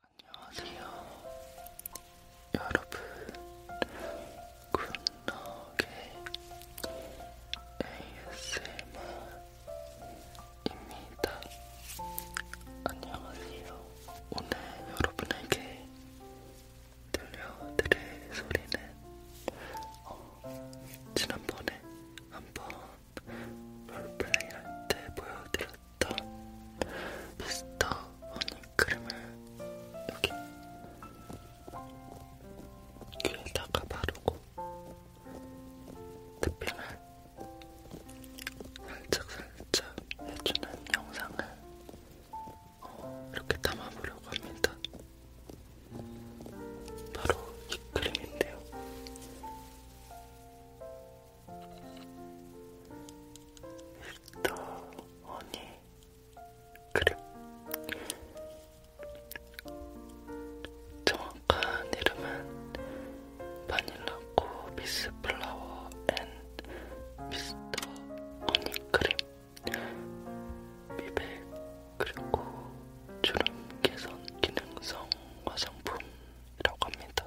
안녕하세요 여러분 굿너게 ASMR입니다 안녕하세요 오늘 여러분에게 들려드릴 소리는 어, 지난번에 한번 롤플레이 할때 보여드렸던 있던 미스터 허니크림을 여기 귀에다가 바르고 탭핑을 살짝살짝 해주는 영상을 어, 이렇게 담아보려고 합니다. 바로 이 크림인데요. 일단 허니 그래 정확한 이름은 바닐라코 미스 플라워 앤 미스터 허니 크림 미백 그리고 주름 개선 기능성 화장품이라고 합니다.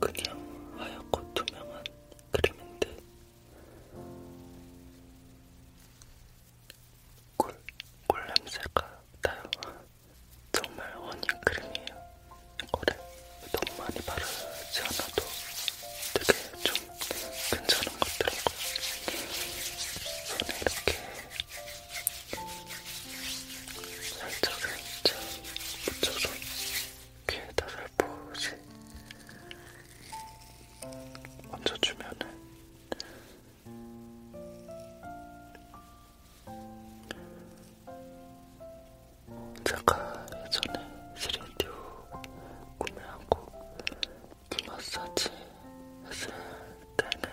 그냥 하얗고 투명한 크림인데 꿀, 꿀 냄새가 나요. 정말 어닝크림이에요. 이거를 너무 많이 바르지 않아도 되게 좀 괜찮은 것 같더라고요. 손에 이렇게 살짝 살짝 묻혀서 귀에다 살포시 얹어주면은 제가 예전에 3디오 구매하고 그 마사지 했을 때는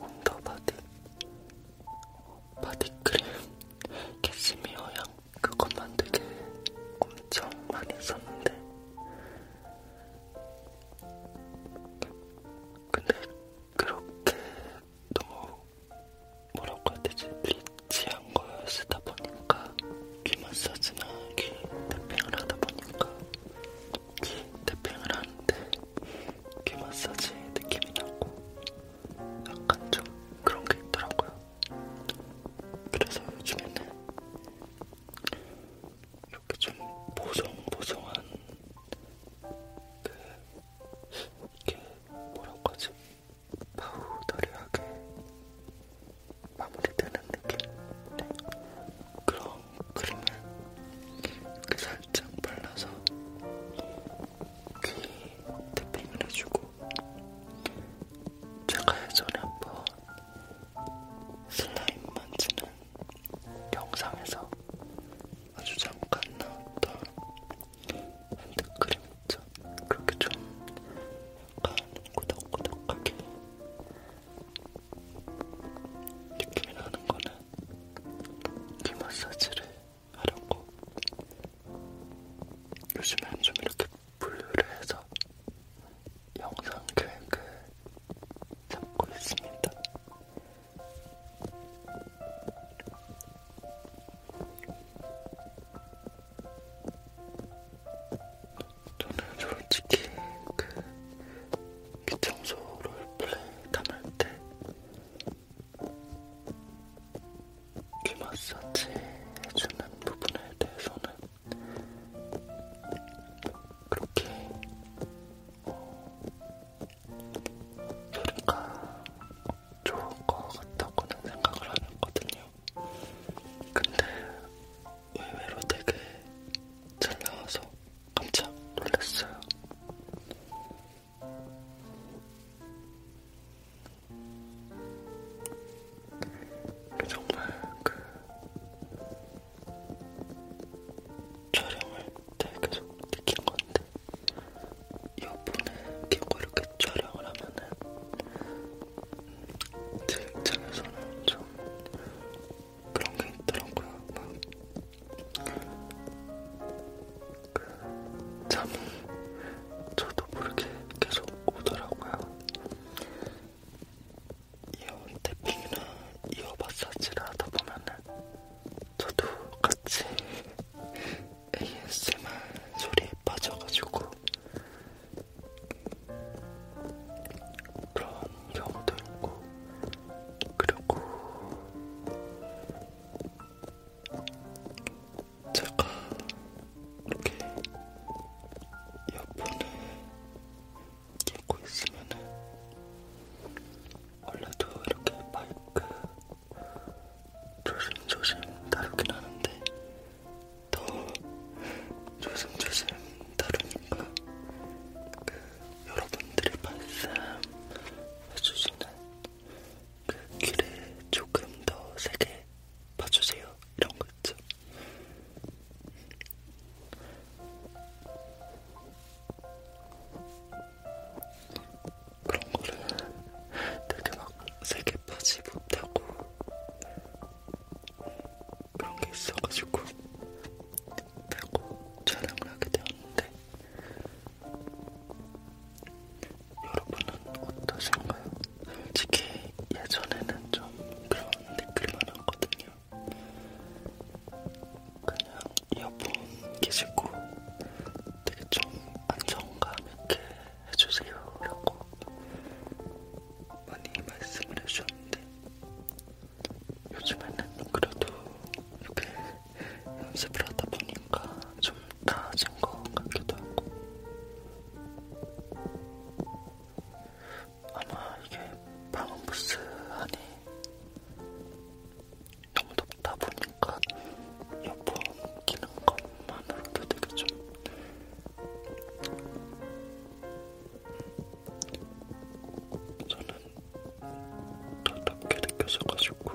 온더바디 바디크림 캐시미어 향 그것만 되게 엄청 많이 썼는데 근데 그렇게 너무 뭐라고 해야 되지? 리치한 걸 쓰다 보니까 귀 마사지나 귀 태핑을 하다 보니까 귀 태핑을 하는데 귀 마사지 느낌이 나고 약간 좀 그런 게 있더라고요. 그래서 요즘에는 이렇게 좀 보송보송한 그 이게 뭐라고 하지? 파우더리하게 마무리되는 느낌? 네. 그런 크림을 이렇게 살짝 발라서 귀 태핑을 해주고 제가 예전에 한번 슬라임 만지는 것은 영상에서 아주 잠깐 나왔던 핸드크림 있죠? 그렇게 좀 약간 꾸덕꾸덕하게 느낌이 나는 거는 귀 마사지를 하려고 요즘엔 좀 이렇게 분류를 해서 영상 계획을 그 잡고 있습니다. 저는 솔직히 그 귀청소 롤플레이 담을 때 귀마사지 해주는 부분에 대해서는 그렇게 소리가 어, 좋을 것 같다고는 생각을 안 했거든요. 근데 의외로 되게 잘 나와서 깜짝 놀랐어요. 정말 그 촬영을 때 계속 느낀 건데, 이어폰을 끼고 이렇게 촬영을 하면은, 제 입장에서는 좀 그런 게 있더라고요. 막그 잠이 저도 모르게 계속 오더라고요. 이어 탭핑이나 이어 마사지를 하다 보면은 저도 같이 ASMR 소리에 빠져가지고 그런 경우도 있고 그리고 제가 이렇게 이어폰을 찍고 있으면은 원래도 이렇게 마이크 조심조심 다루긴 하는데 더 조심조심 다루니까 그 여러분들이 말씀해주시는 그 귀를 조금 더 세게 봐주세요. 이런 거 있죠. 그런 거를 되게 막 세게 파지 못하고 그런 게 있어가지고 빼고 촬영을 하게 되었는데 여러분은 어떠신가요? 솔직히 예전에는 좀 그런 느낌만 왔거든요. 그냥 이어폰 끼시고 되게 좀 안정감 있게 해주세요 라고 많이 말씀을 해주셨는데 요즘에는 그래도 이렇게 연습을 하다 보니까 좀 나아진 것 같기도 하고 아마 이게 방음 부스 안에 너무 덥다 보니까 이어폰 끼는 것만으로도 되게 좀 저는 더 덥게 느껴져가지고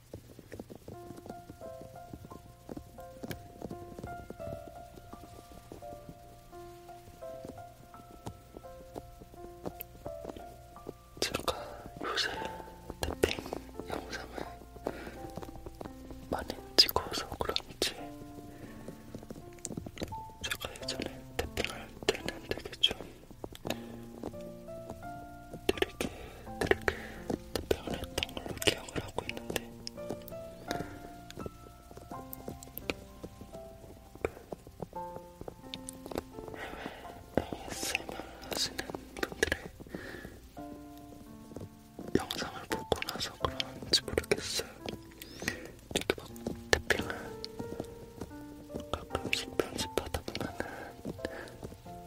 제가 요새 탭핑 영상을 많이 찍어서 그런지 제가 예전에 탭핑할 때는 되게 좀 이렇게 이렇게 답변을 했던 걸로 기억을 하고 있는데 ASMR 하시는 분들의 영상을 보고 나서 그런지 모르겠어요. 이렇게 막 태핑을 가끔씩 편집하다 보면은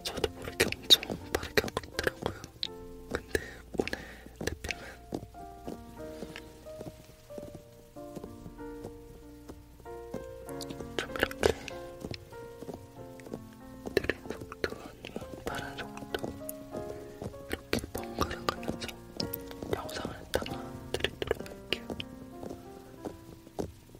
저도 모르게 엄청 빠르게 하고 있더라고요. 근데 오늘 대표는 좀 이렇게 느린 속도 아니면 빠른 속도 이렇게 번갈아 가면서 영상을 담아 드리도록 할게요.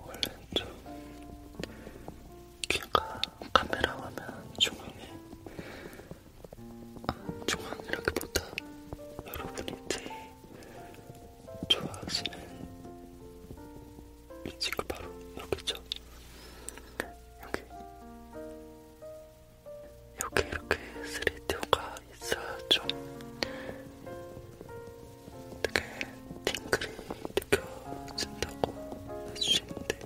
원래 좀 귀가 카메라 화면 중앙에 아, 중앙이라기보다 여러분이 제 좋아하시는 이 친구 바로 여기죠. 여기. 여기 이렇게 3D가 있어야 좀 되게 팅글이 느껴진다고 해주시는데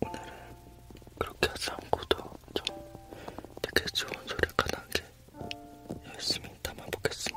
오늘은 그렇게 하지 않고도 좀 되게 좋은 소리가 나게 열심히 담아보겠습니다.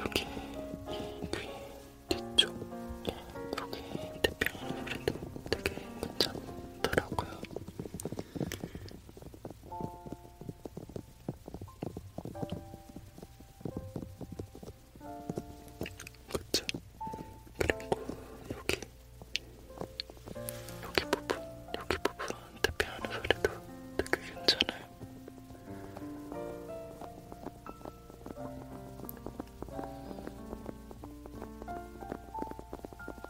여기 이귀 뒤쪽 여기 대평 브랜드 되게 괜찮은 없더라고요. 그쵸? 그리고 여기 여기 부분 여기 부분 대피하는 소리도 되게 괜찮아요.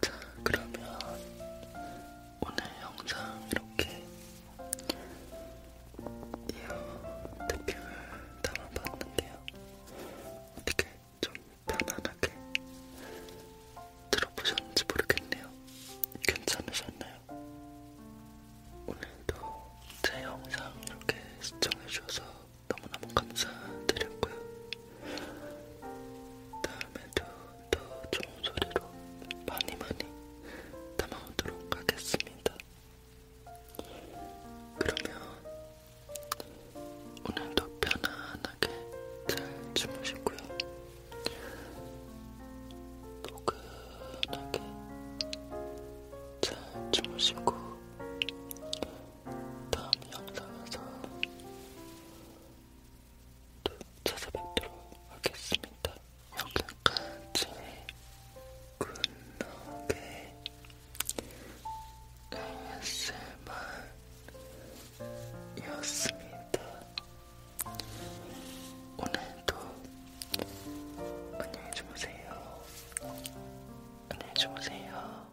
자, 그러면 오늘 영상 이렇게 이어 대표를 담아봤는데요. 어떻게 좀 편안하게 들어보셨는지 모르겠네요. 괜찮으셨나요? 오늘도 제 영상 이렇게 시청해주셔서 너무너무 감사드렸고요. 다음에도 더 좋은 소리로 많이 많이 담아오도록 하겠습니다. 그러면 오늘도 편안하게 잘 주무시고요. 포근하게 잘 주무시고 다음 영상에서 또 찾아뵙도록 하겠습니다. 여기까지 굿노게 ASMR이었습니다. 오늘도 안녕히 주무세요. 안녕히 주무세요.